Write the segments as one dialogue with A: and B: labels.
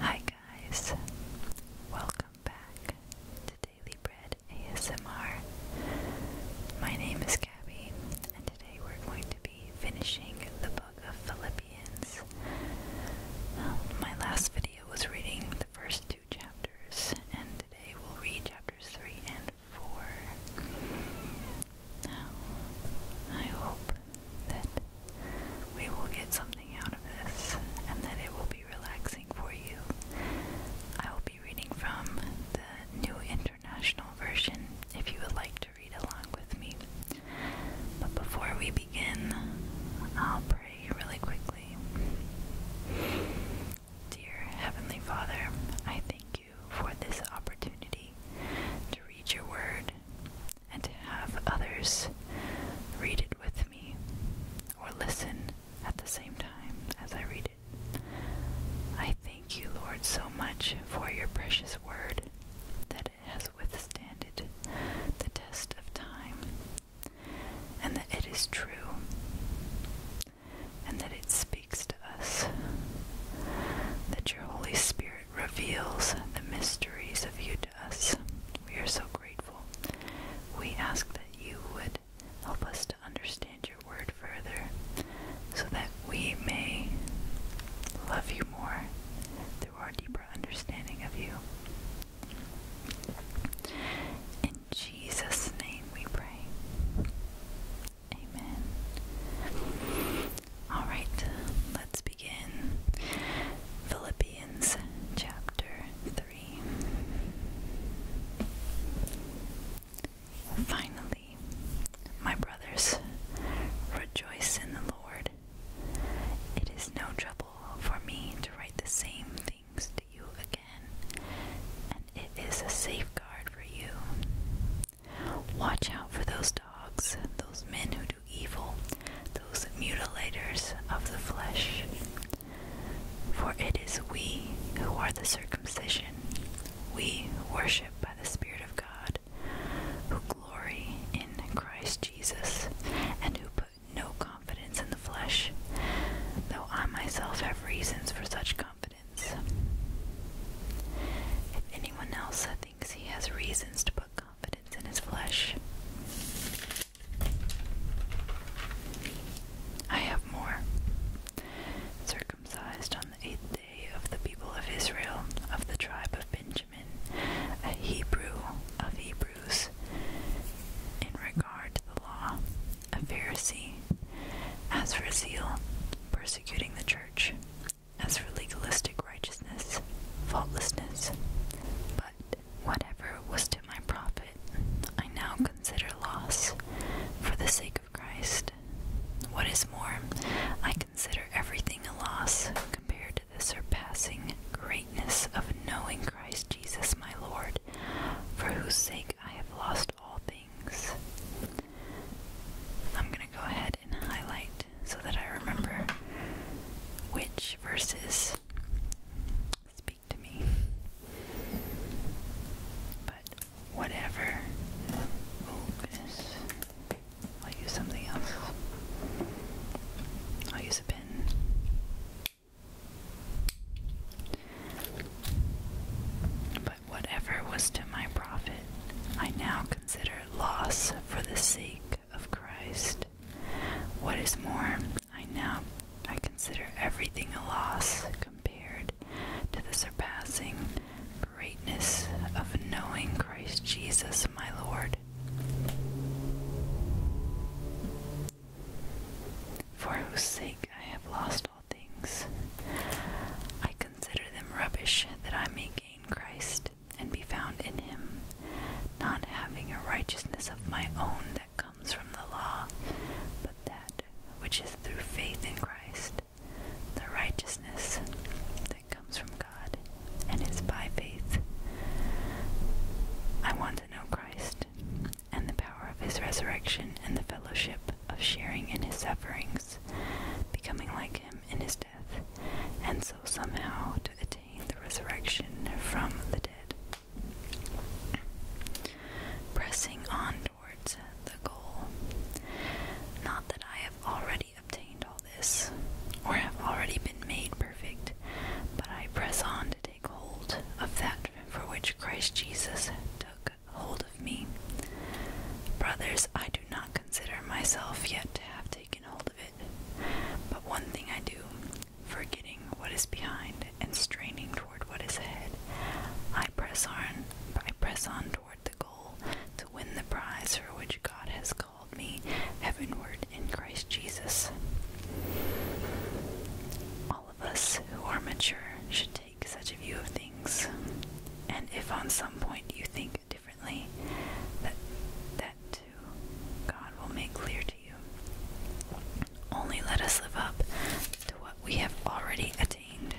A: Hi guys, welcome back to Daily Bread ASMR. My name is Gabby, and today we're going to be finishing the book of Philippians. Um, my last video was reading the first two chapters, and today we'll read chapters 3 and 4. Now, I hope that we will get something out of this and that it will be relaxing for you. I will be reading from the New International Version if you would like to read along with me. But before we begin, I'll pray really quickly. Dear Heavenly Father, I thank you for this opportunity to read your word, and have others read it with me or listen at the same time as I read it. I thank you, Lord, so much for your precious word that it has it the test of time and that it is true and that it speaks to us. That your Holy Spirit reveals the mysteries of you to us. We are so grateful. We ask that you would help us to understand your word further so that we may love you more through our deeper understanding of you. In Jesus' name we pray. Amen. All right, let's begin. Philippians chapter 3. Finally, my brothers, rejoice in the Lord. It is no trouble for me to write the same things to you again, and it is a safeguard for you. Watch out for those dogs, those men who do evil, those mutilators of the flesh. For it is we who are the circumcision, we worship by the Spirit of God, who glory in Christ Jesus, and who put no confidence in the flesh, though I myself have reasons for such confidence. If anyone else thinks he has reasons to put confidence, confidence in his flesh. I have more. Circumcised on the eighth day of the people of Israel, of the tribe of Benjamin, a Hebrew of Hebrews, in regard to the law, a Pharisee, as for zeal, persecuting the church, as for legalistic righteousness, faultlessness. But whatever was to my profit, I now consider loss for the sake of Christ. What is more, I consider everything a loss compared to the surpassing greatness of knowing Christ Jesus my Lord, for whose sake I have lost all things. I'm going to go ahead and highlight so that I remember which versus speak to me. But whatever. goodness. I'll use something else. I'll use a pen. But whatever was to my profit, I now consider loss for the sake of Christ. What is more, I now I consider everything a loss compared to the surpassing greatness of knowing Christ Jesus my Lord. For whose sake I have lost all things. I consider them rubbish that I may gain Christ and be found in him, not having a righteousness of my own that comes from the law, but that which is through faith in Christ, the righteousness that comes from God and is by faith. I want to know Christ and the power of his resurrection and the fellowship of sharing in his sufferings, becoming like him in his death and so somehow to attain the resurrection from the dead. Pressing on towards the goal. Not that I have already obtained all this, or have already been made perfect, but I press on to take hold of that for which Christ Jesus took hold of me. Brothers, I do not consider myself yet to have taken hold of it. But one thing I do, forgetting what is behind and straining toward what is ahead, I press on I press on toward the goal to win the prize for which God has called me heavenward in Christ Jesus. All of us who are mature should take such a view of things. And if on some point you think differently, that, that too God will make clear to you. Only let us live up to what we have already attained.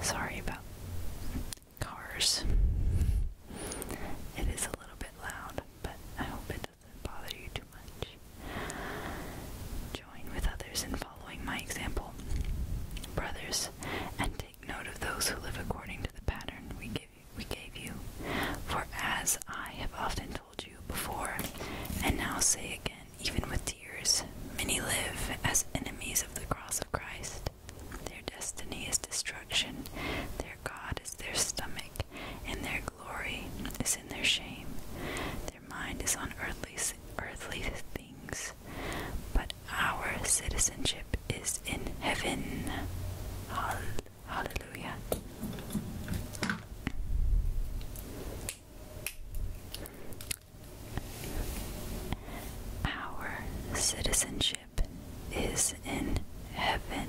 A: Sorry about cars. It is a little bit loud, but I hope it doesn't bother you too much church. Join with others in following my example. Brothers, and take note of those who live according to the pattern we gave you. For as I have often told you before, and now say again, even with tears, many live as enemies of the cross of Christ. Their destiny is destruction, their God is their stomach, and their glory is in their shame. Their mind is on earthly, earthly things, but our citizenship is in heaven. Hallelujah. Our citizenship is in heaven,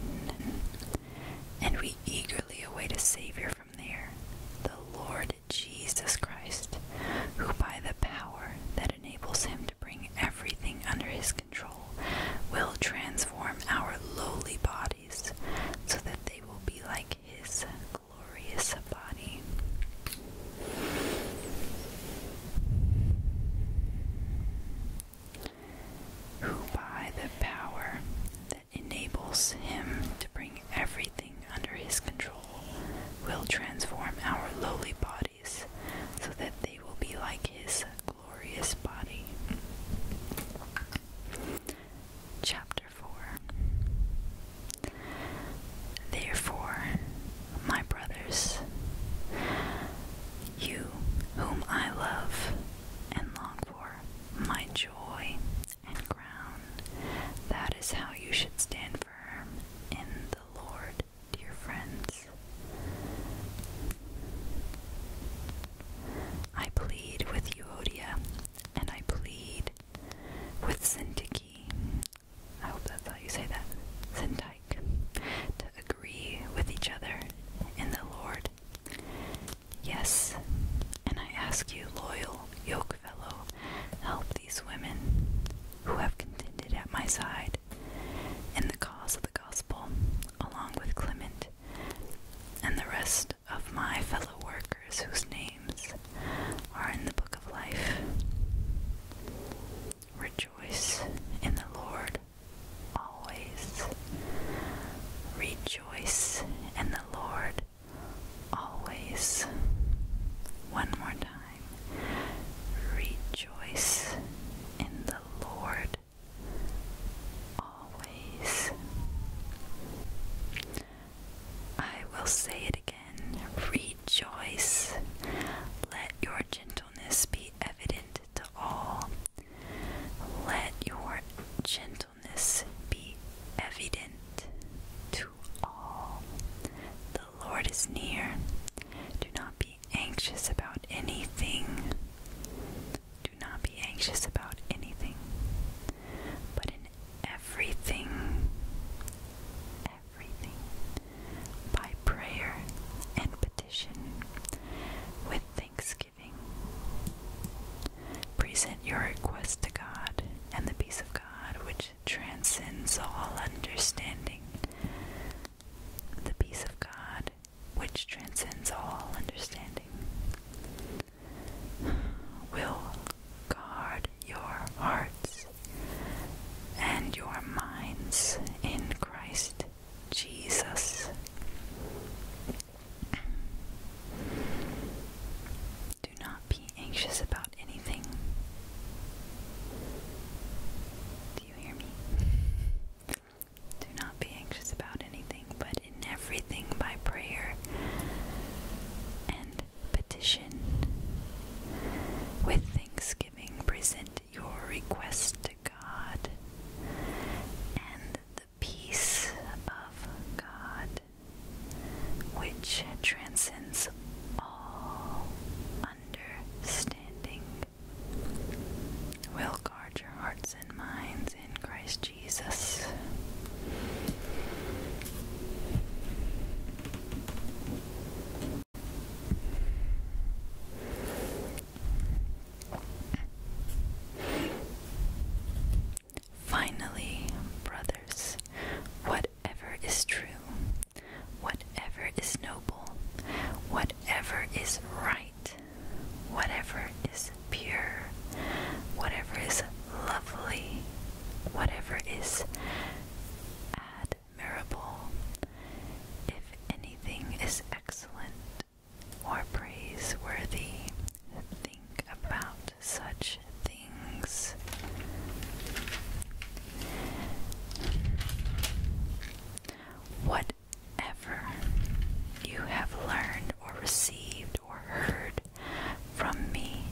A: and we eagerly await a Savior there the Lord Jesus Christ, who by the power that enables him to bring everything under his control will transform our lowly bodies so that they will be like his glorious body. Who by the power enables him to bring everything under his control will transform our lowly bodies so that they will be like his glorious body. Chapter 4 Therefore, my brothers, you whom I love and long for, my joy and ground. That is how you should stand firm in the Lord, dear friends. I plead with Euodia, and I plead with Syntyche. I hope that's how you say that, Syntyche, to agree with each other in the Lord. Yes, and I ask you, loyal yoke fellow, help these women who have contended at my side in the cause of the gospel, along with Clement and the rest of my fellow workers whose names are in the book of life. Rejoice in the Lord always. Rejoice in the Lord always. One more time. Rejoice in the Lord always. I will say it again. Rejoice. Let your gentleness be evident to all. Let your gentleness be evident to all. The Lord is near. Do not be anxious about anything. Do not be anxious about anything. But in everything, everything, by prayer and petition, with thanksgiving. Present your request to God, and the peace of God, which transcends all understanding, the peace of God, which transcends all understanding, will guard your hearts and your minds in Christ Jesus. Do not be anxious about anything. Do you hear me? Do not be anxious about anything, but in everything by prayer and petition. With thanksgiving, present your request to God, the peace of God, which transcends all understanding, will guard your hearts and minds in Christ Jesus. Finally, brothers, whatever is true, whatever is noble, whatever is right, whatever is pure, whatever is lovely, whatever is admirable, if anything is excellent, or praiseworthy. Think about such things. Whatever you have learned or received or heard from me,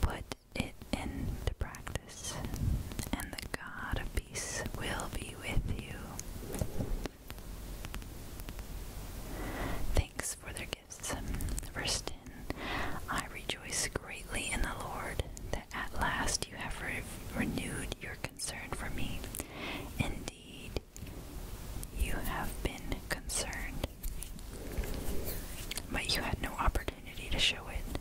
A: put it into practice, and the God of peace will be with you. Thanks for their gifts. Verse I rejoice greatly in the Lord that at last you have renewed your concern for me. Indeed, you have been concerned, but you had no opportunity to show it.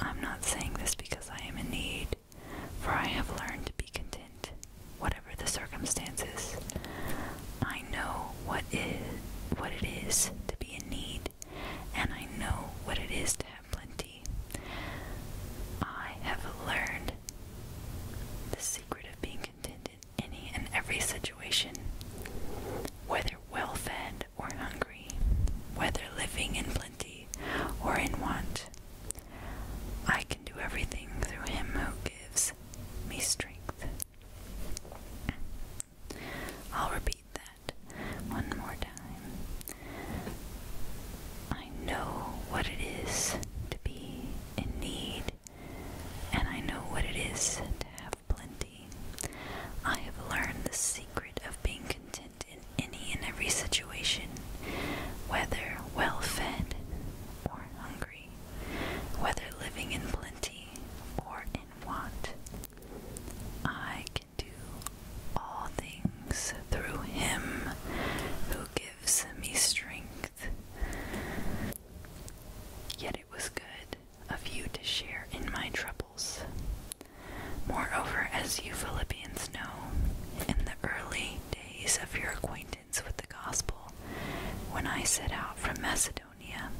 A: I'm not saying this because I am in need for I have learned to be content, whatever the circumstances. I know what is what it is to be in need, and I know what it is to have plenty. I have learned the secret of being content in any and every situation, whether well fed or hungry, whether living in plenty or in want. I can do everything through Him who gives me strength. I'll repeat that one more time. I know what it is to be in need, and I know what it is to have plenty. I have learned the secret of being content in any and every situation, whether well fed or hungry, whether living in plenty or in want. I can do all things through Him who gives me strength. Yet it was good of you to share in my troubles. Moreover, as you Philippians know, in the early days of your acquaintance with the gospel, when I set out from Macedonia,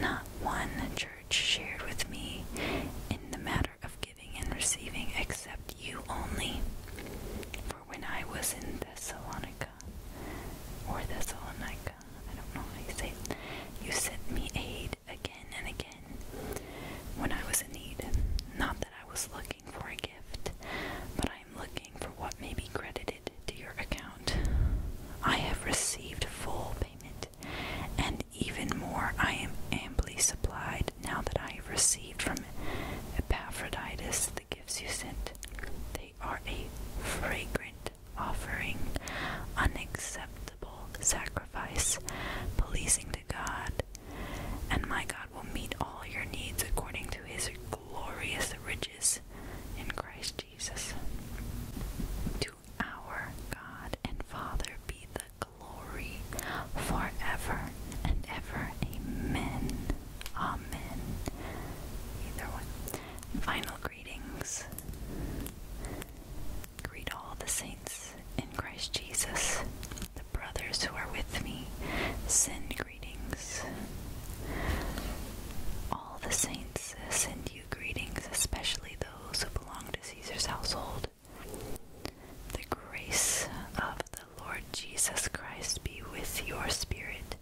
A: not one church shared with me in the matter of giving and receiving except you only. For when I was in Thessalonica, or Thessalonica, I don't know how you say it, you sent me aid again and again when I was in need. Not that I was looking for a gift, but I am looking for what may be credited to your account. I have received full payment, and even more I am amply supplied now that I have received from Epaphroditus the gifts you sent. They are a fragrant offering, unacceptable sacrifice, pleasing to God, and my God will meet all your needs according to his glorious riches in Christ Jesus. To our God and Father be the glory forever and ever. Amen. Amen. Either one. Final greetings. Greet all the saints in Christ Jesus. The brothers who are with me send greetings. All the saints send you greetings, especially those who belong to Caesar's household. The grace of the Lord Jesus Christ be with your spirit.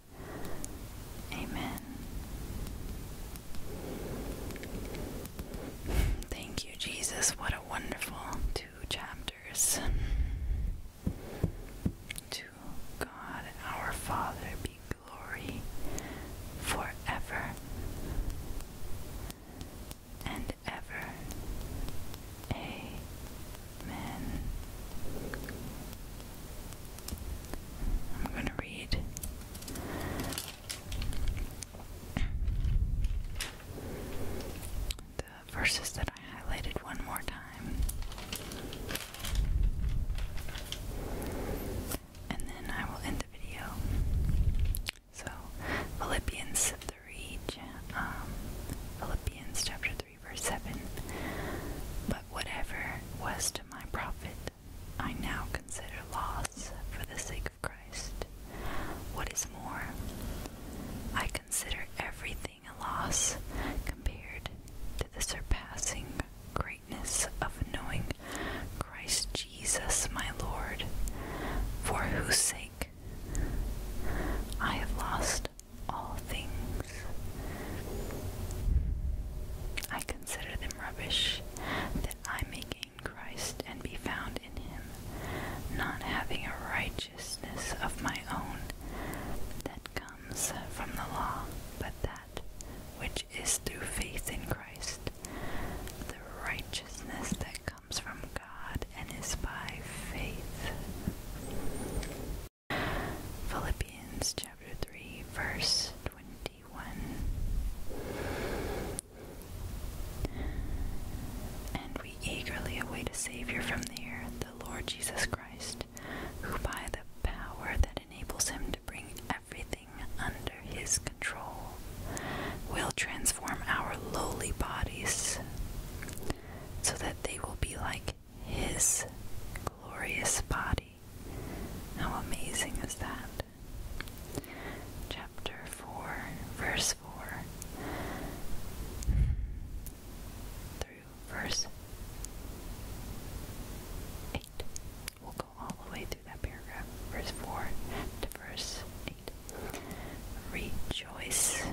A: Amen. Thank you, Jesus. What a wonderful two chapters. To God our Father be glory forever and ever. Amen. I'm going to read the verses that I highlighted one more time. And then I will end the video. So, Philippians 3, um, Philippians chapter 3, verse 7. But whatever was to my profit, I now consider loss for the sake of. Christ. What is more, I consider everything a loss compared to the surpassing greatness of knowing Christ Jesus my Lord, for whose sake I have lost all things. I consider them rubbish that I may gain in Christ and be found in him, not having a righteousness of my own that comes from the law, but that which is through faith in Christ, the righteousness that comes from God and is by faith. Philippians chapter 3, verse 21. And we eagerly await a Savior from the earth, the Lord Jesus Christ, who by the power that enables him to bring everything under his control will transform our lowly bodies so that they will be like his glorious body. How amazing is that? Chapter 4, verse 4 through verse 8. We'll go all the way through that paragraph, verse 4 to verse 8. Rejoice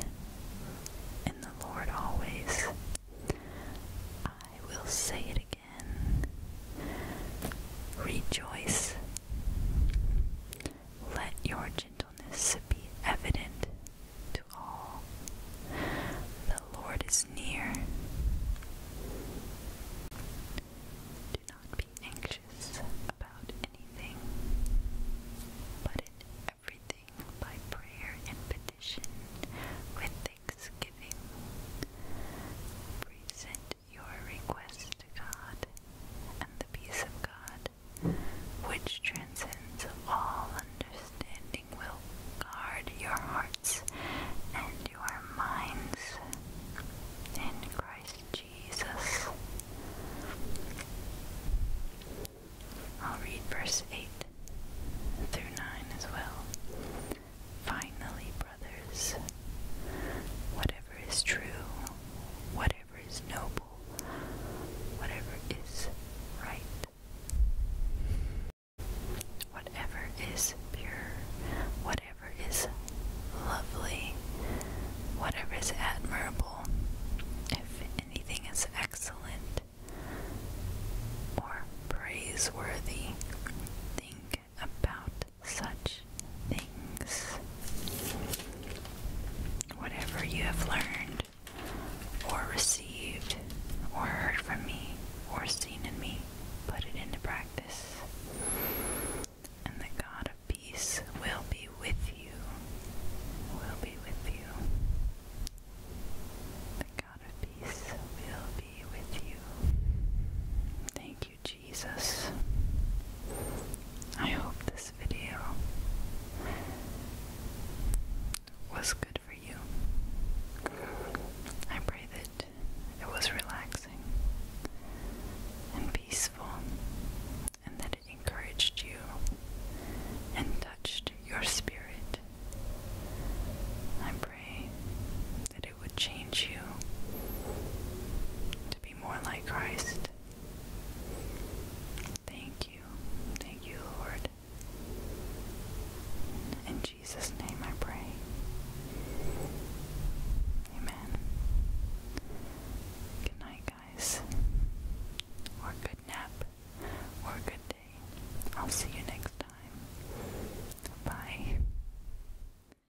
A: in the Lord always. I will say it again. Rejoice. Let your gentleness be evident to all. The Lord is near. Do not be anxious about anything, but in everything by prayer and petition with thanksgiving. Present your request to God and the peace of God, which transcends all understanding, will guard your hearts and your minds in Christ Jesus. I'll read verse 8 through 9 as well. Finally, brothers. Whatever is true, whatever is noble, whatever is right, whatever is pure, whatever is lovely, whatever is admirable, if anything is excellent or praiseworthy, think think about such things. Whatever you have learned, or received, or heard from me, or seen in me, put it into practice. And the God of peace will be with you. Will be with you. The God of peace will be with you. Thank Thank you, Jesus. I hope this video was good for you. I pray that it was relaxing and peaceful and that it encouraged you and touched your spirit. I pray that it would change you to be more like Christ. Thank you. Thank you, Lord. In Jesus' name I pray. Amen. Good night, guys. Or good nap. Or good day. I'll see you next time. Bye.